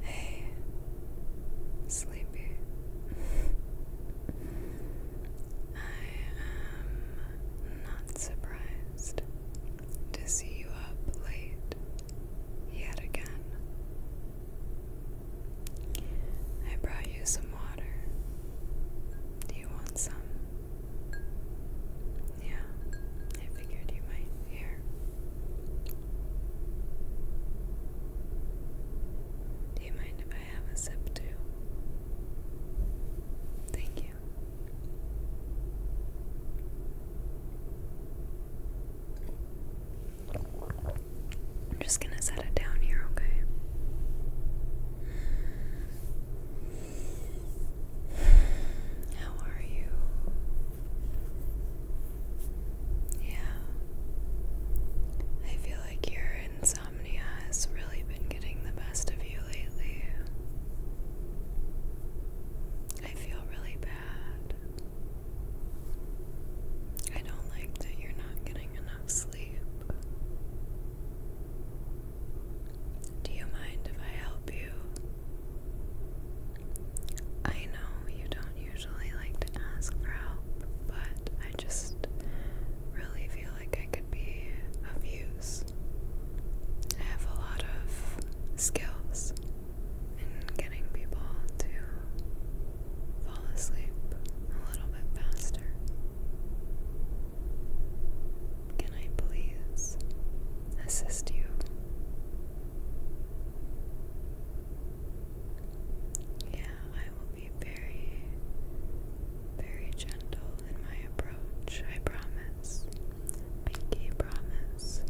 Hey, sleepy. I am not surprised to see you up late yet again. I brought you some water. Do you want some? Yeah, I figured you might hear. Do you mind if I have a sip too? Thank you. I'm just gonna set it down here, okay? How are you? Yeah. I feel like your insomnia has really been getting the best of you lately. I feel really bad. I don't like that you're not getting enough sleep. Do you mind if I help you? I know you don't usually like to ask for help, but I just really feel like I could be of use. I have a lot of skills in getting people to fall asleep a little bit faster. Can I please assist you? Yeah, I will be very, very gentle in my approach. I promise. Pinky promise.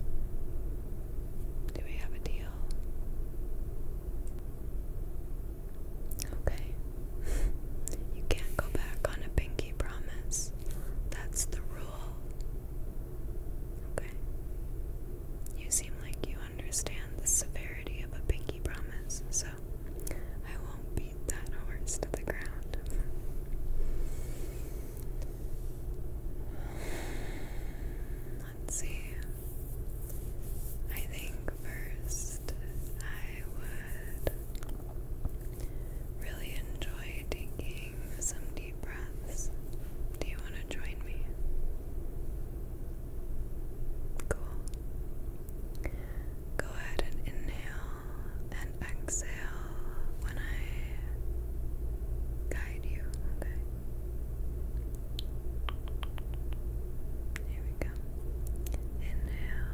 Do we have a deal? Okay. you can't go back on a pinky promise. That's the rule. Okay. You seem like you understand the severity of a pinky promise, so I won't beat that horse to the ground. Let's see. I think first I would really enjoy taking some deep breaths. Do you want to join me? Cool. Go ahead and inhale and exhale when I guide you, okay? Here we go. Inhale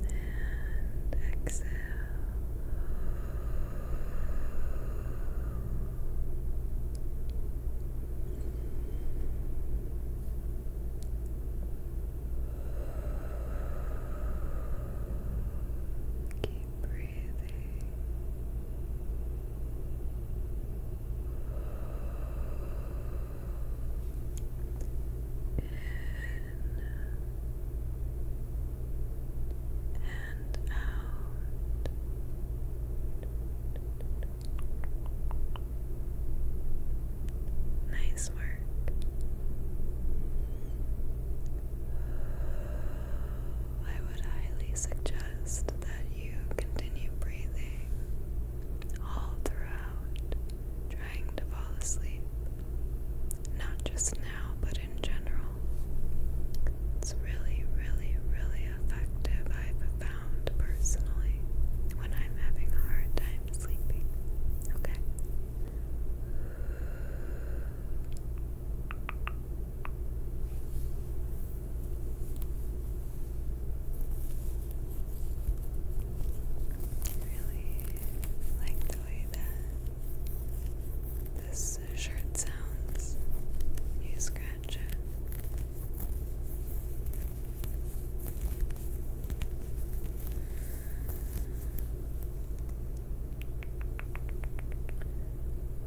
and exhale. Keep breathing in and out. Nice work. I would highly suggest that you continue breathing all throughout, trying to fall asleep. Not just now, but in general. It's really, really, really effective, I've found personally, when I'm having a hard time sleeping. Okay? really like the way that this shirt sounds. You scratch it.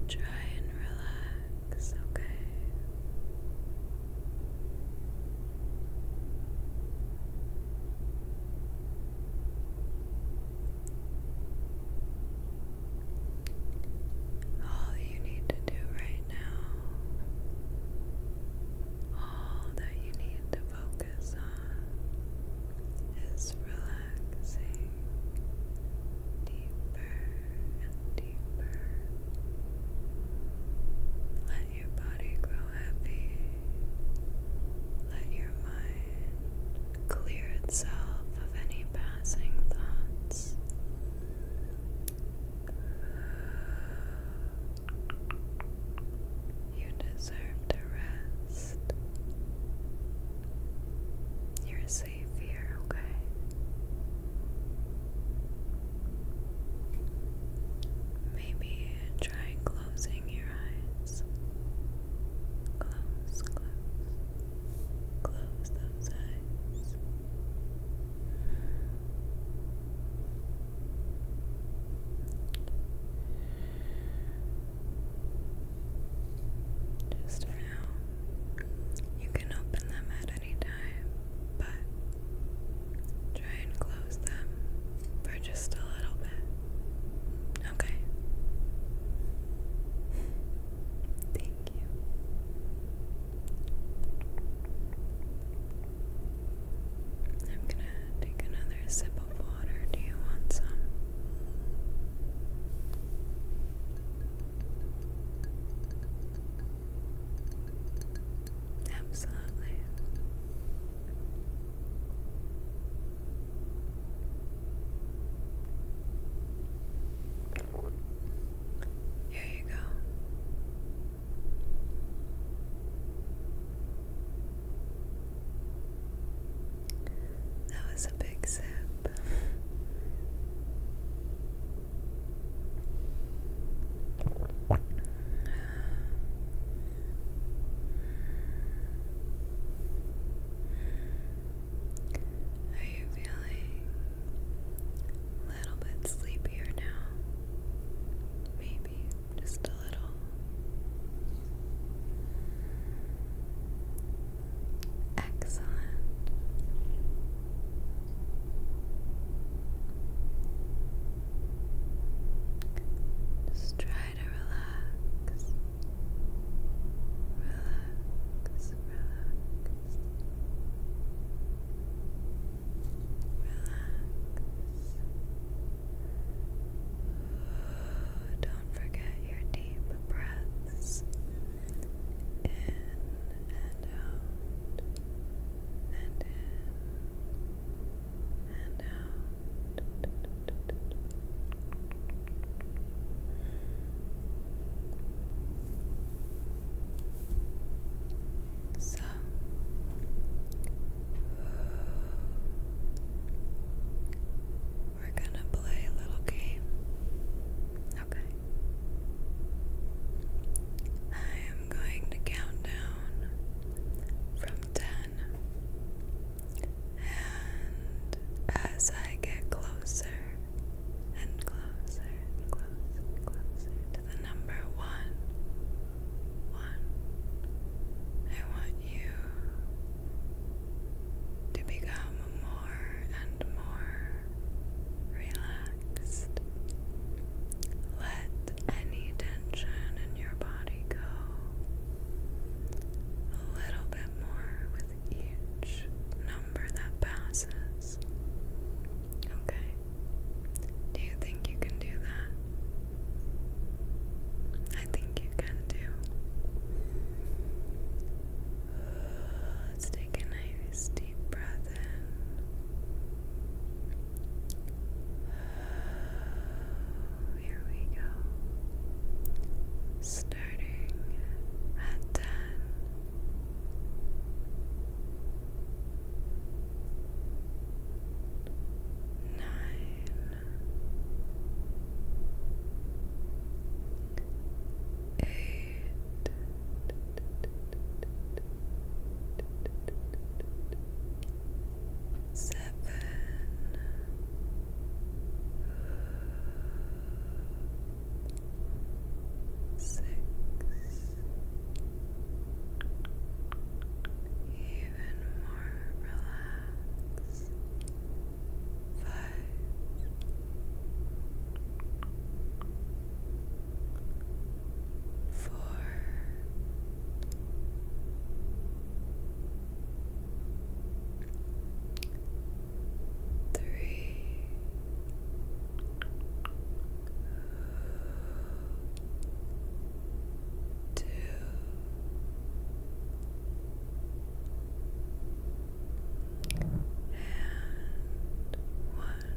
Try and relax, okay? All you need to do right now, all that you need to focus on, is relaxing deeper and deeper. Let your body grow happy. Let your mind clear itself of any passing thoughts. You deserve to rest. You're safe here, okay? Maybe try closing your eyes. Close, close. Close those eyes. Just now, you can open them at any time, but Try and close them for just a little bit. Okay. Thank you. I'm gonna take another sip of water. Do you want some? Absolutely. Here you go. That was a big sip. Are you feeling a little bit sleepier now? Maybe just a little. Excellent. Just try to relax. Relax, relax. Relax. don't forget your deep breaths in and out and in. So we're gonna play a little game. Okay. I am going to count down from 10. And as I get closer and closer and closer and closer to the number one, one, I want you to become more and more relaxed let any tension in your body go a little bit more with each number that passes. Okay. Do you think you can do that? I think you can do. Let's take a nice deep breath in. Here we go. Starting at ten. Eight seven six even more relaxed five Four, Three. Two. And one.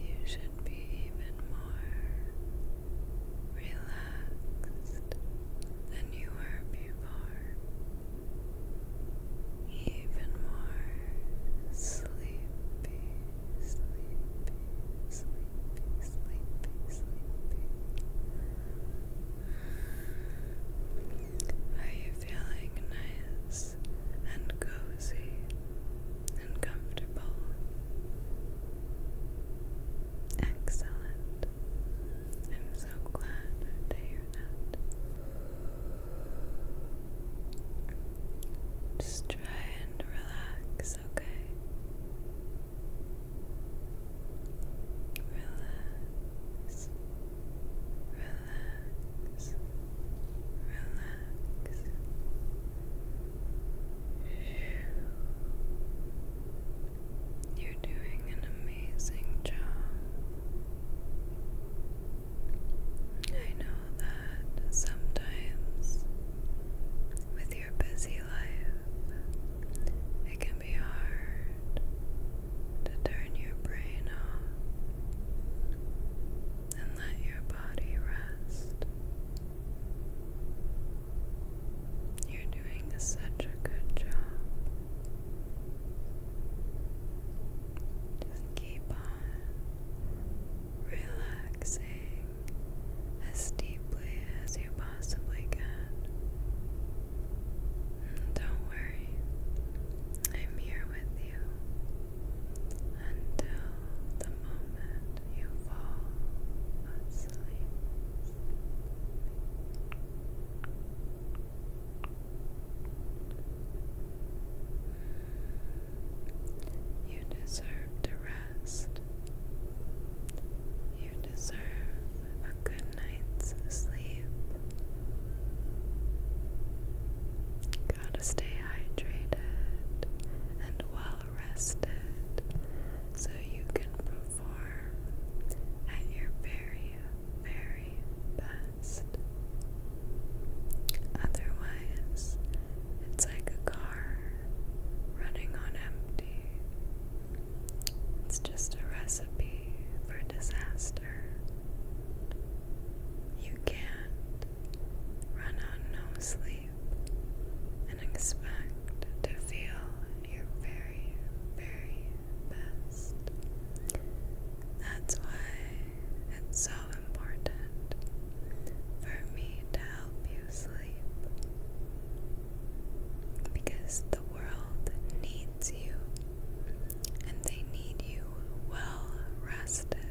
You should be even more relaxed than you were before, even more sleepy, sleepy, sleepy, sleepy, sleepy. Are you feeling nice and cozy and comfortable. Excellent. I'm so glad to hear that. Just try and relax, okay? Relax. Relax relax, relax. You're doing an amazing job. I know that sometimes with your busy life, it can be hard to turn your brain off and let your body rest. You're doing such a good job. Just keep on relaxing as deeply as you possibly can. Don't worry, I'm here with you until the moment you fall asleep. You deserve to rest. You deserve a good night's sleep. Gotta stay hydrated and well rested so you can perform at your very, very best. Otherwise, it's like a car running on empty. It's just a recipe for disaster. You can't Run on no sleep and expect to feel your very, very best. That's why it's so important for me to help you sleep because the world needs you and they need you well rested.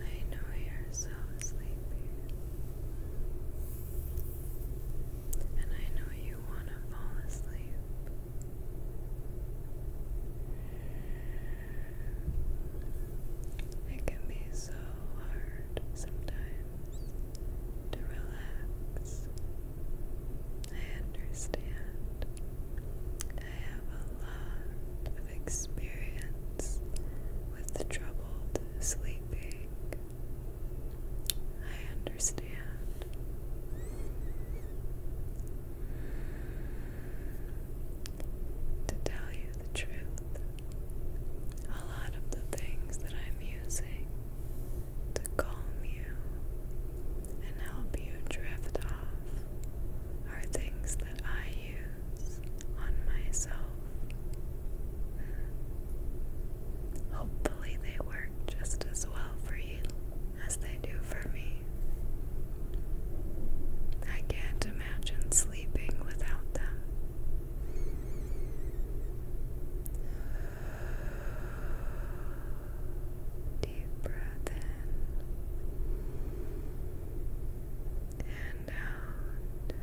I know you're so sleepy. And I know you want to fall asleep. It can be so hard sometimes to relax I understand. I have a lot of experience with the troubled sleeping. I understand. To tell you the truth, a lot of the things that I'm using to calm you and help you drift off are things that I use on myself. Hopefully, they work just as well for you as they do for me. I can't imagine sleeping without them. Deep breath in and out.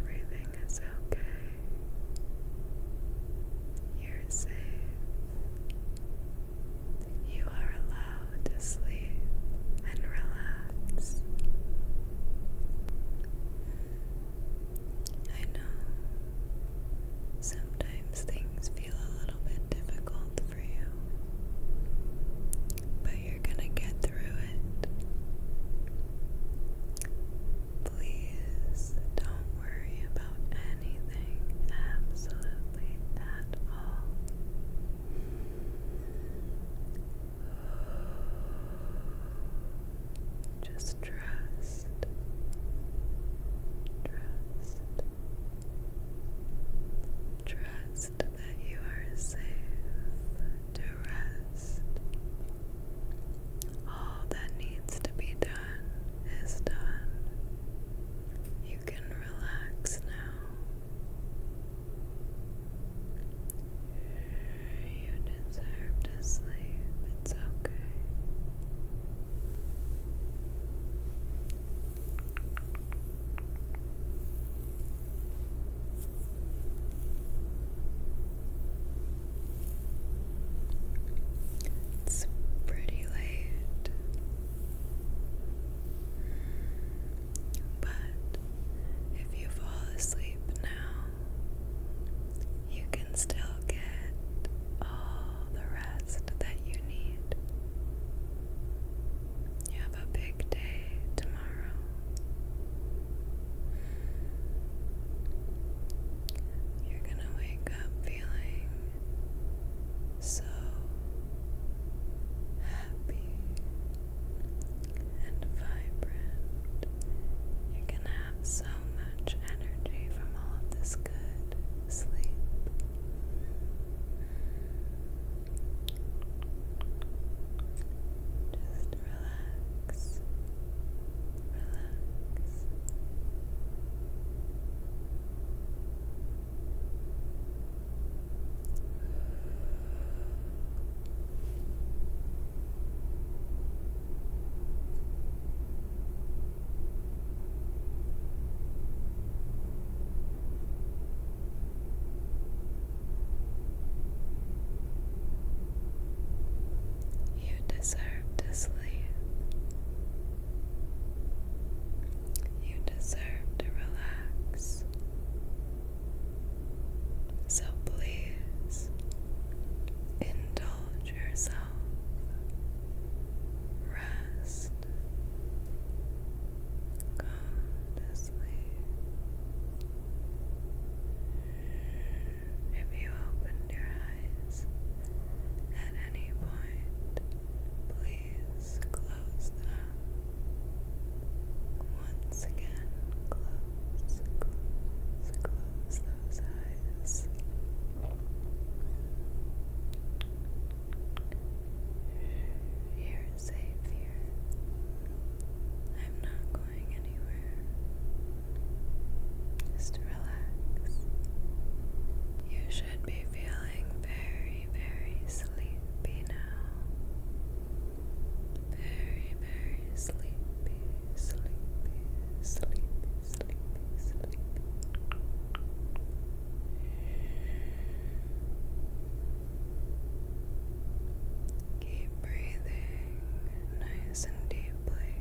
Everything is okay. You're safe. You are allowed to sleep and relax. I know sometimes things feel a little bit difficult for you, but you're gonna get through it. Please don't worry about anything, absolutely at all. Just trust. Trust. Trust that you are safe to rest. All that needs to be done is done. You can relax now. You deserve to sleep. It's okay. It's pretty late, but if you fall asleep now, you can still get all the rest that you need. You have a big day tomorrow. You're gonna wake up feeling so happy and vibrant. You're gonna have so much energy from all of this good sleep. Just relax, relax. You deserve to sleep. You deserve to relax. So please indulge yourself rest. Go to sleep. If you opened your eyes at any point, please close them. Once again, close, close, close those eyes. You're safe here. I'm not going anywhere. Just relax. You should be feeling very, very sleepy now. Very, very sleepy, sleepy, sleepy sleepy, Keep breathing nice and deeply.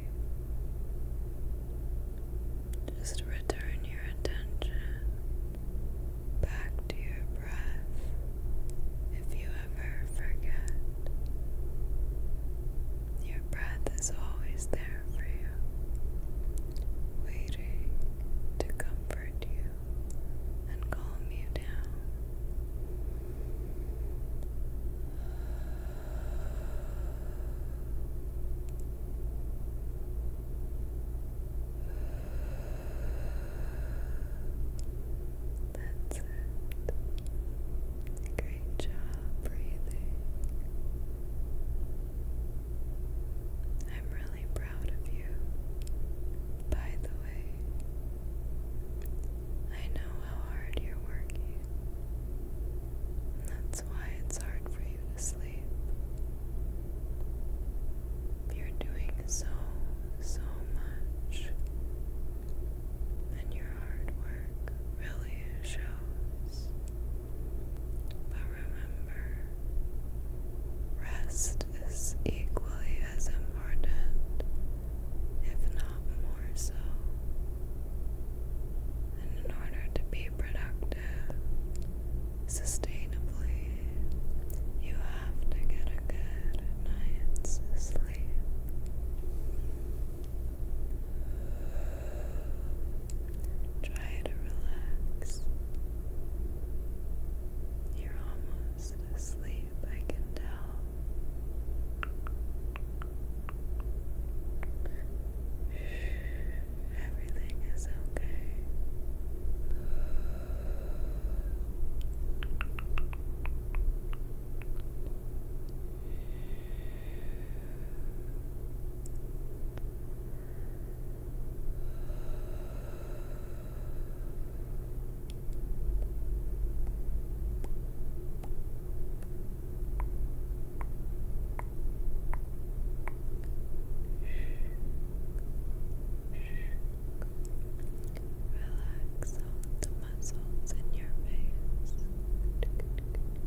Just return your attention back to your breath if you ever forget. Your breath is always there for you, waiting to comfort you and calm you down. That's it. Great job breathing. I'm really proud of you. By the way, I know how hard you're working. That's why it's hard for you to sleep. You're doing so, so much and your hard work really shows. But remember, rest is equally as important, if not more so. And in order to be productive sustainably, you have to get a good night's sleep. Try to relax. You're almost asleep, I can tell. Everything is okay. Relax all the muscles in your face.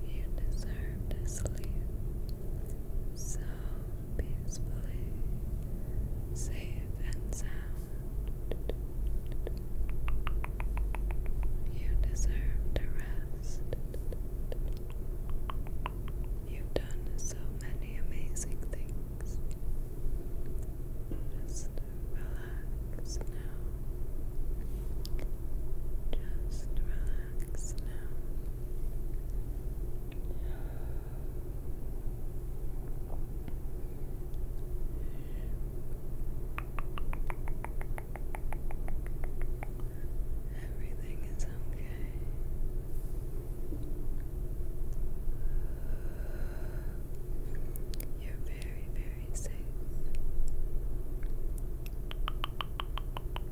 You deserve to sleep so peacefully, safe and sound. You deserve to rest. You've done so many amazing things. Just relax now. Just relax now. Everything is okay. You're very, very safe.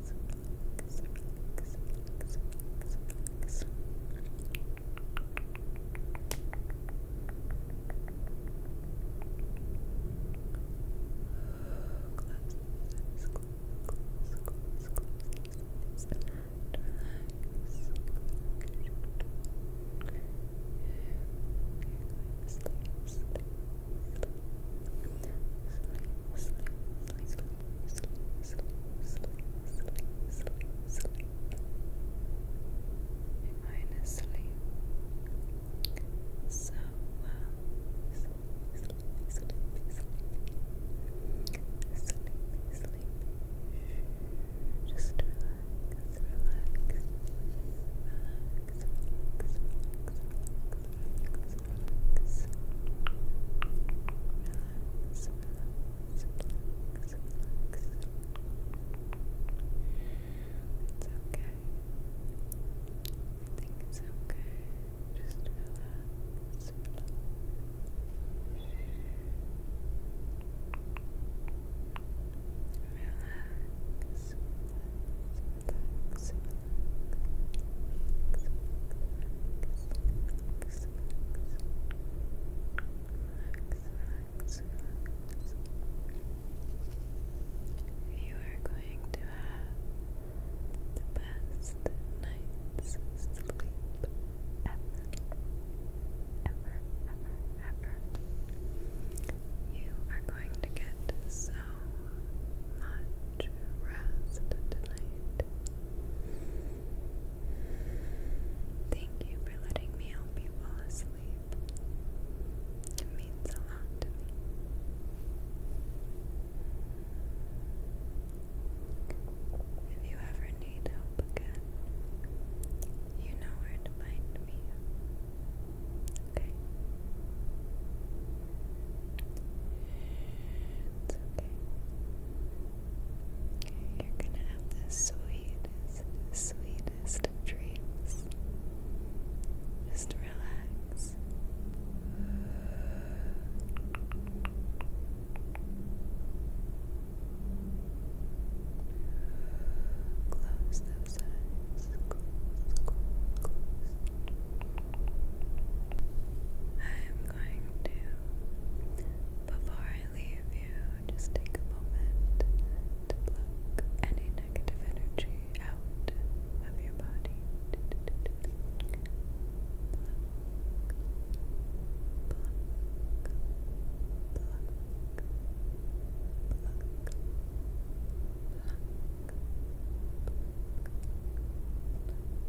relax, relax, relax, relax, relax. Close the eyes, close, close, close, close the eyes, relax. You're going to sleep, sleep, sleep, sleep, sleep, sleep, So well. Just relax, relax, relax relax, relax, It's okay. I think it's okay. Just relax, relax, relax, relax, You are going to have the best night's sleep ever, ever, ever. You are going to get so much rest tonight. Thank you for letting me help you fall asleep. It means a lot If you ever need help again, you know where to find me. Okay? It's okay. You're gonna have the sweetest, sweetest dreams. Just relax. Close those eyes. I'm going to, before I leave you, just take a moment to pluck any negative energy out of your body.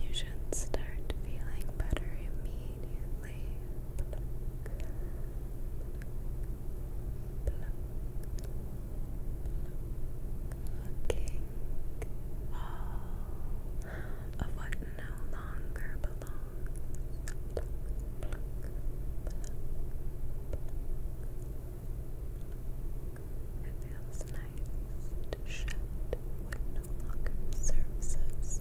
You should start feeling better immediately. all of what no longer it feels nice to shed what no longer serves us.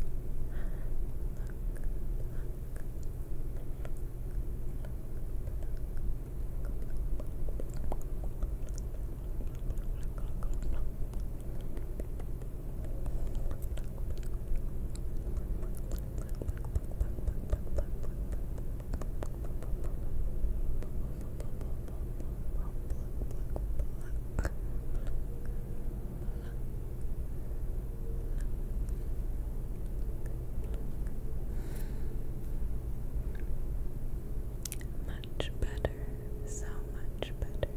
Much better, so much better.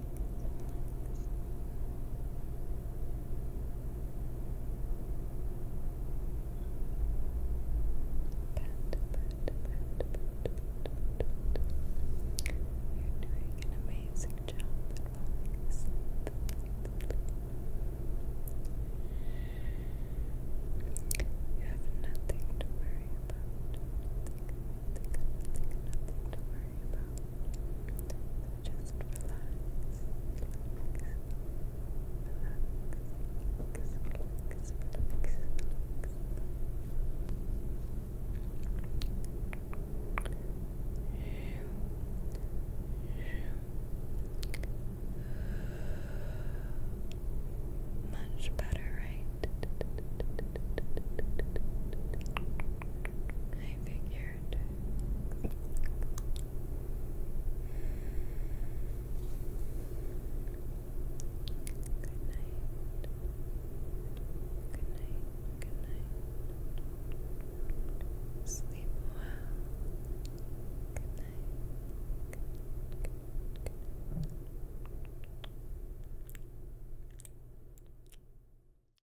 You're doing an amazing job You have nothing to worry about worry about. Much better, right? I figured. Good night. Good night. Good night. Sleep well. Good night.